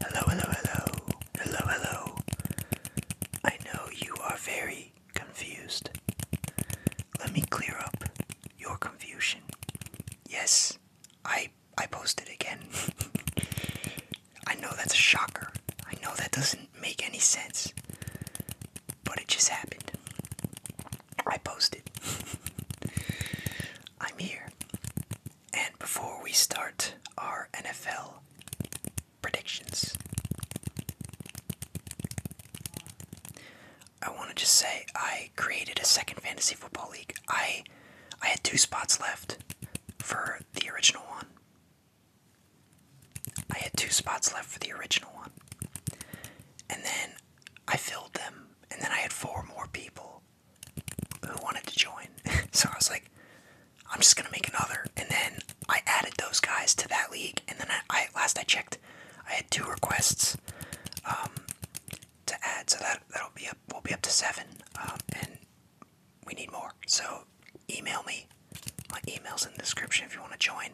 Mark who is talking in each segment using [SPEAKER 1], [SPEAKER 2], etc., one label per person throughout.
[SPEAKER 1] Hello, hello, hello. Hello, hello. I know you are very confused. Let me clear up your confusion. Yes, I I posted again. I know that's a shocker. I know that doesn't make any sense. But it just happened. I posted. I'm here. And before we start our NFL predictions, I want to just say I created a second fantasy football league. I I had two spots left for the original one. I had two spots left for the original one. And then I filled them. And then I had four more people who wanted to join. so I was like, I'm just gonna make another. And then I added those guys to that league. And then I, I last I checked, I had two requests um, to add. So that that'll be up. We'll be up to seven. Um, and we need more. So email me. My email's in the description if you want to join.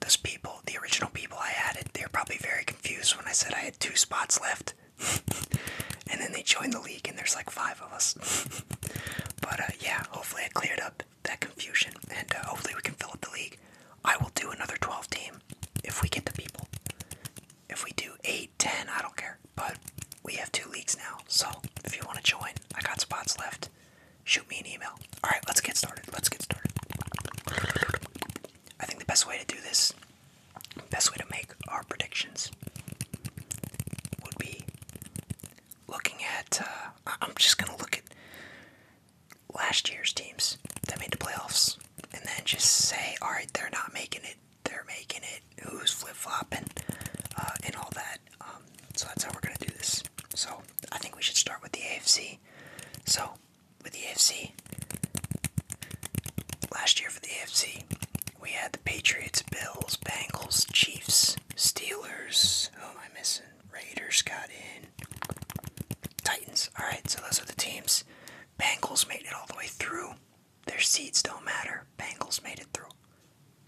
[SPEAKER 1] Those people, the original people I added, they are probably very confused when I said I had two spots left. and then they join the league, and there's like five of us. but uh, yeah, hopefully I cleared up that confusion, and uh, hopefully we can fill up the league. I will do another 12 team if we get the people. If we do eight, ten, I don't care. But we have two leagues now, so if you want to join, I got spots left. Shoot me an email. Alright, let's get started. Let's get started. I think the best way to do this best way to make our predictions would be looking at. Uh, I'm just gonna look at last year's teams that made the playoffs, and then just say, all right, they're not making it. They're making it. Who's flip flopping, uh, and all that. Um, so that's how we're gonna do this. So I think we should start with the AFC. So with the AFC. Last year for the AFC, we had the Patriots, Bills, Bengals, Chiefs, Steelers. Who am I missing? Raiders got in. Titans. Alright, so those are the teams. Bengals made it all the way through. Their seeds don't matter. Bengals made it through.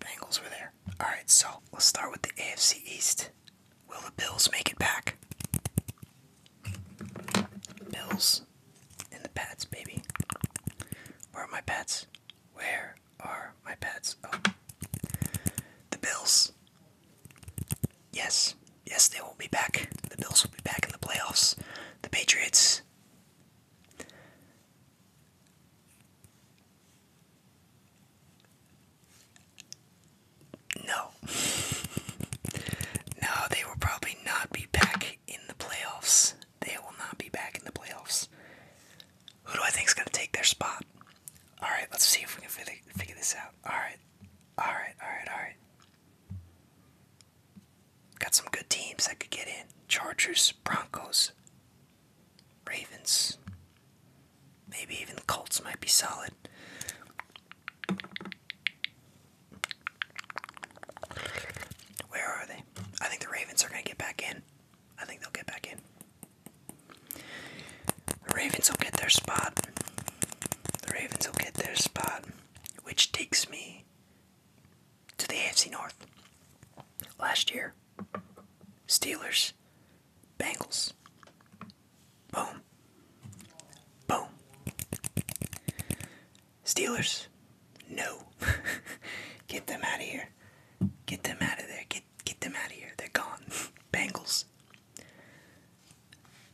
[SPEAKER 1] Bengals were there. Alright, so let's start with the AFC East. Will the Bills make it back? Bills and the Pats, baby. Where are my Pats? Where are my Pats? Oh. The Bills. Yes. Yes, they will be back. The Bills will be back in the playoffs. The Patriots. No. No, they will probably not be back in the playoffs. They will not be back in the playoffs. Who do I think is going to take their spot? Alright, let's see if we can figure this out. Alright. Alright, alright, alright. Got some good teams that could get in Chargers, Broncos, Ravens. Maybe even the Colts might be solid. Where are they? I think the Ravens are going to get back in. I think they'll get back in. The Ravens will get their spot. The Ravens will get their spot, which takes me to the AFC North. Last year, Steelers, Bengals, Boom. Boom. Steelers. No. get them out of here. Get them out of there. Get get them out of here. They're gone. Bengals.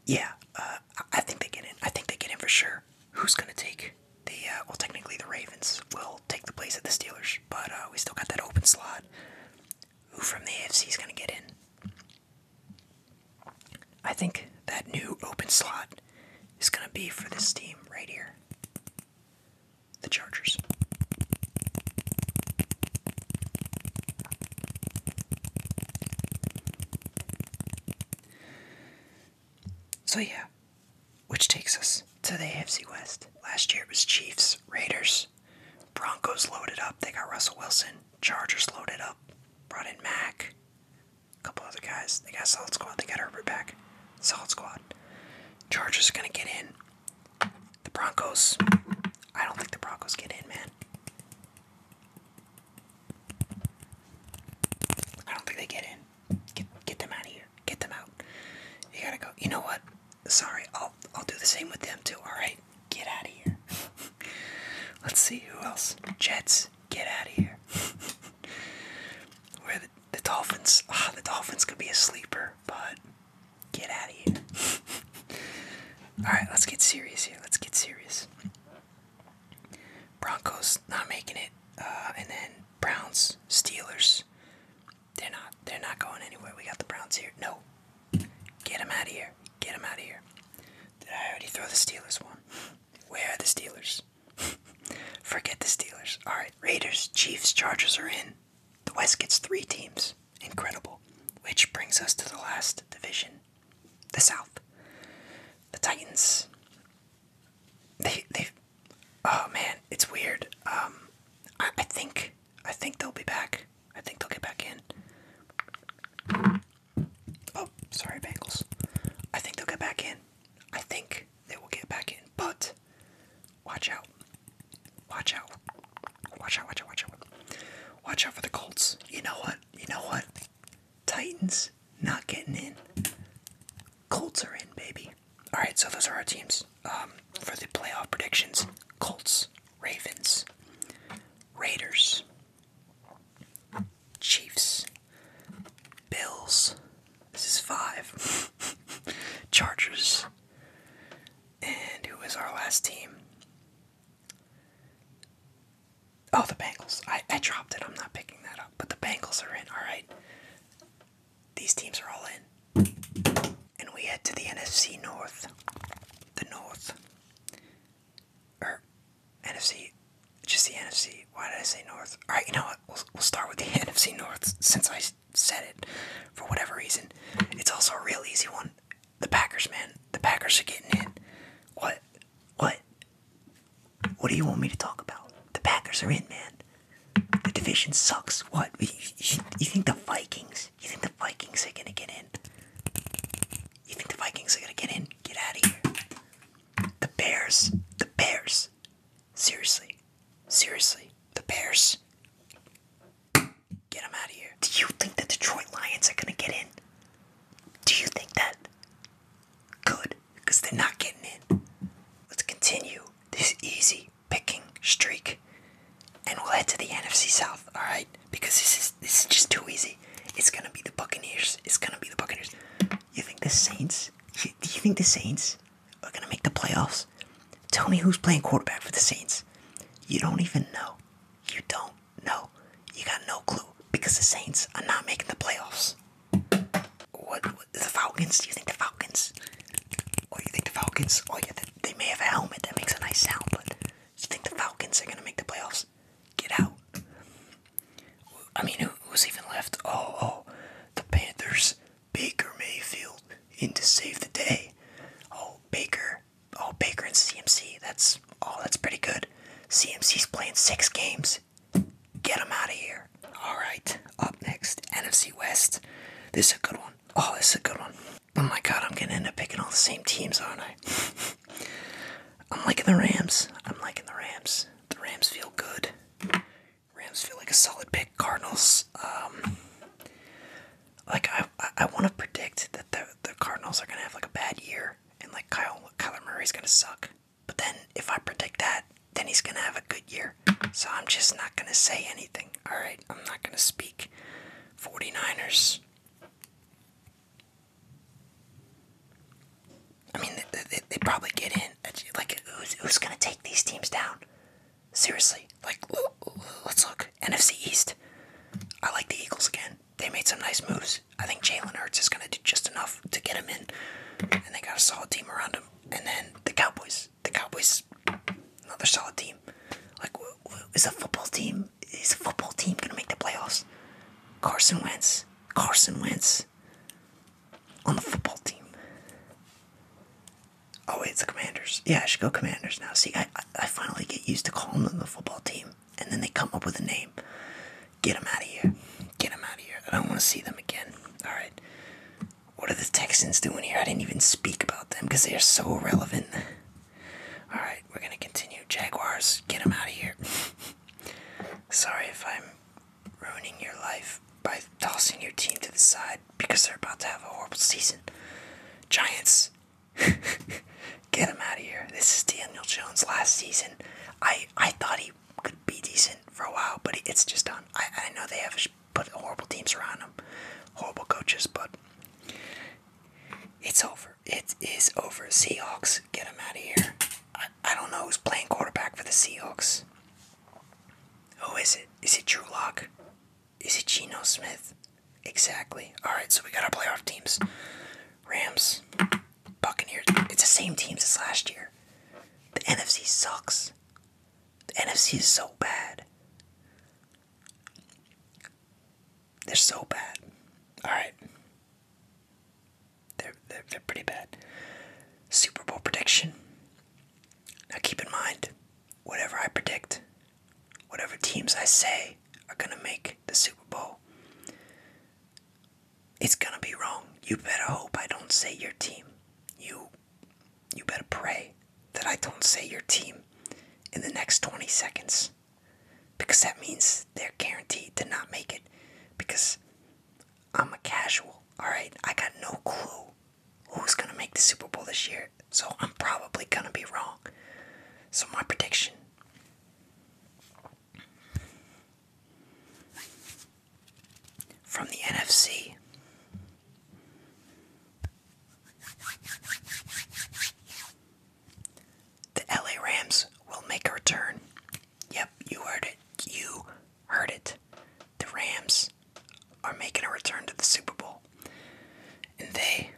[SPEAKER 1] Yeah, uh, I think they get in. I think they get in for sure. Who's gonna take the? Uh, well, technically the Ravens will take the place of the Steelers, but uh, we still got that open slot. Who from the AFC is gonna get in? I think that new open slot is going to be for this team right here the Chargers. So, yeah, which takes us to the AFC West. Last year it was Chiefs, Raiders, Broncos loaded up. They got Russell Wilson. Chargers loaded up. Brought in Mac. A couple other guys. They got solid squad. They got Herbert back. Solid squad. Chargers are gonna get in. The Broncos. I don't think the Broncos get in, man. I don't think they get in. Get get them out of here. Get them out. You gotta go. You know what? Sorry, I'll I'll do the same with them too. All right get out of here. Let's see who else. Jets, get out of here. Where the, the Dolphins? Ah, the Dolphins could be a sleeper, but get out of here. All right, let's get serious here. Let's get serious. Broncos not making it, uh, and then Browns, Steelers. They're not. They're not going anywhere. We got the Browns here. No, get them out of here. Get them out of here. Did I already throw the Steelers one? Where are the Steelers? Forget the Steelers. Alright, Raiders, Chiefs, Chargers are in. The West gets three teams. Incredible. Which brings us to the last division the South. The Titans. They, they, oh man, it's weird. Um, I, think, I think they'll be back. I think they'll get back in. Oh, sorry, Bengals. I think they'll get back in. I think they will get back in, but watch out. Watch out. Watch out, watch out, watch out. Watch out for the Colts. You know what? You know what? Titans not getting in. Colts are in, baby. Alright, so those are our teams. Um, for the playoff predictions Colts, Ravens, Raiders, Chiefs, Bills. This is five. Chargers. And who is our last team? Oh, the Bengals. I, I dropped it. I'm not picking that up. But the Bengals are in. All right. These teams are all in. And we head to the NFC North. The North. Er, NFC, just the NFC. Why did I say North? All right, you know what? We'll we'll start with the NFC North since I said it. For whatever reason, it's also a real easy one. The Packers, man. The Packers are getting in. What? What? What do you want me to talk about? The Packers are in, man. The division sucks. What? You, you think the Vikings? You think the Vikings are gonna get in? You think the Vikings are gonna get in? Get out of here. The Bears. The Bears. Seriously. Seriously. The Bears. Get them out of here. Do you think the Detroit Lions are gonna get in? Do you think that? Good, because they're not getting in. Let's continue this easy picking streak and we'll head to the NFC South, alright? because this is this is just too easy. It's gonna be the Buccaneers. It's gonna be the Buccaneers. You think the Saints? Do you, think the Saints are gonna make the playoffs? Tell me who's playing quarterback for the Saints. You don't even know. You don't know. You got no clue because the Saints are not making the playoffs. What, the Falcons? Do you think the Falcons? Or you think the Falcons? Oh yeah, they, they may have a helmet that makes a nice sound, but do you think the Falcons are gonna make the playoffs? Get out. I mean, who, who's even left? Oh, oh, the Panthers. Baker Mayfield in to save the day. Oh, Baker. Oh, Baker and CMC. That's all. Oh, that's pretty good. CMC's playing six games. Get them out of here. All right. Up next, NFC West. This is a good one. Oh, this is a good one. Oh my God, I'm gonna end up picking all the same teams, aren't I? I'm liking the Rams. I'm liking the Rams. The Rams feel good. Rams feel like a solid pick. Cardinals, um, like I, I, want to predict that the the Cardinals are gonna have like a bad year, and like Kyle Kyler Murray's gonna suck. But then if I predict that, then he's gonna have a good year. So I'm just not gonna say anything. All right, I'm not gonna speak. 49ers. I mean, they, they, probably get in. Like, who's, who's going to take these teams down? Seriously. Like, let's look. NFC East. I like the Eagles again. They made some nice moves. I think Jalen Hurts is going to do just enough to get him in. And they got a solid team around him. And then the Cowboys. The Cowboys, another solid team. Like, is a football team team is a football team gonna make the playoffs? Carson Wentz. Carson Wentz on the football team. Oh wait, it's the Commanders. Yeah, I should go Commanders now. See, I I finally get used to calling them the football team, and then they come up with a name. Get them out of here. Get them out of here. I don't want to see them again. All right. What are the Texans doing here? I didn't even speak about them because they are so irrelevant. All right, we're gonna continue. Jaguars, get them out of here. Sorry if I'm ruining your life by tossing your team to the side because they're about to have a horrible season. Giants, get them out of here. This is Daniel Jones last season. I I thought he could be decent for a while, but it's just done. I I know they have put horrible teams around him, horrible coaches, but it's over. It is over. Seahawks, get him out of here. I, I don't know who's playing quarterback for the Seahawks. Who is it? Is it Drew Lock? Is it Geno Smith? Exactly. Alright, so we got our playoff teams. Rams, Buccaneers. It's the same teams as last year. The NFC sucks. The NFC is so bad. They're so bad. All right. They're, they're, they're pretty bad. Super Bowl prediction. Now keep in mind, whatever I predict, whatever teams I say are going to make the Super Bowl, it's going to be wrong. You better hope I don't say your team. You you better pray that I don't say your team in the next 20 seconds because that means they're guaranteed to not make it because I'm a casual, alright? I got no clue who's going to make the Super Bowl this year, so I'm probably going to be wrong. So, my prediction from the NFC. The LA Rams will make a return. Yep, you heard it. You heard it. The Rams are making a return to the Super Bowl. And they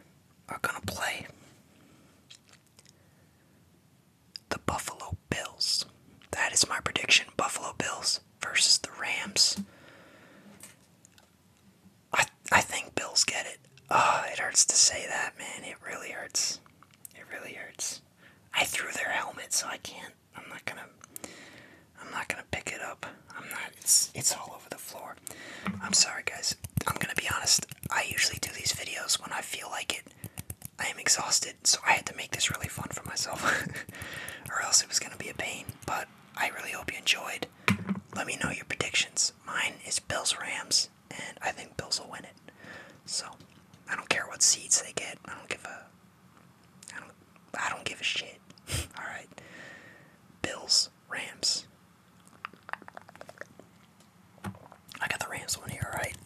[SPEAKER 1] are going to play the Buffalo Bills. That is my prediction Buffalo Bills versus the Rams. I I think Bills get it. Oh, it hurts to say that, man. It really hurts. It really hurts. I threw their helmet, so I can't. I'm not gonna. I'm not gonna pick it up. I'm not. It's it's all over the floor. I'm sorry, guys. I'm gonna be honest. I usually do these videos when I feel like it. I am exhausted, so I had to make this really fun for myself, or else it was gonna be a pain. But I really hope you enjoyed. Let me know your predictions. Mine is Bills Rams, and I think Bills will win it. So I don't care what seeds they get. I don't give a. I don't. I don't give a shit. All right. Bills Rams. I got the Rams one here, all right?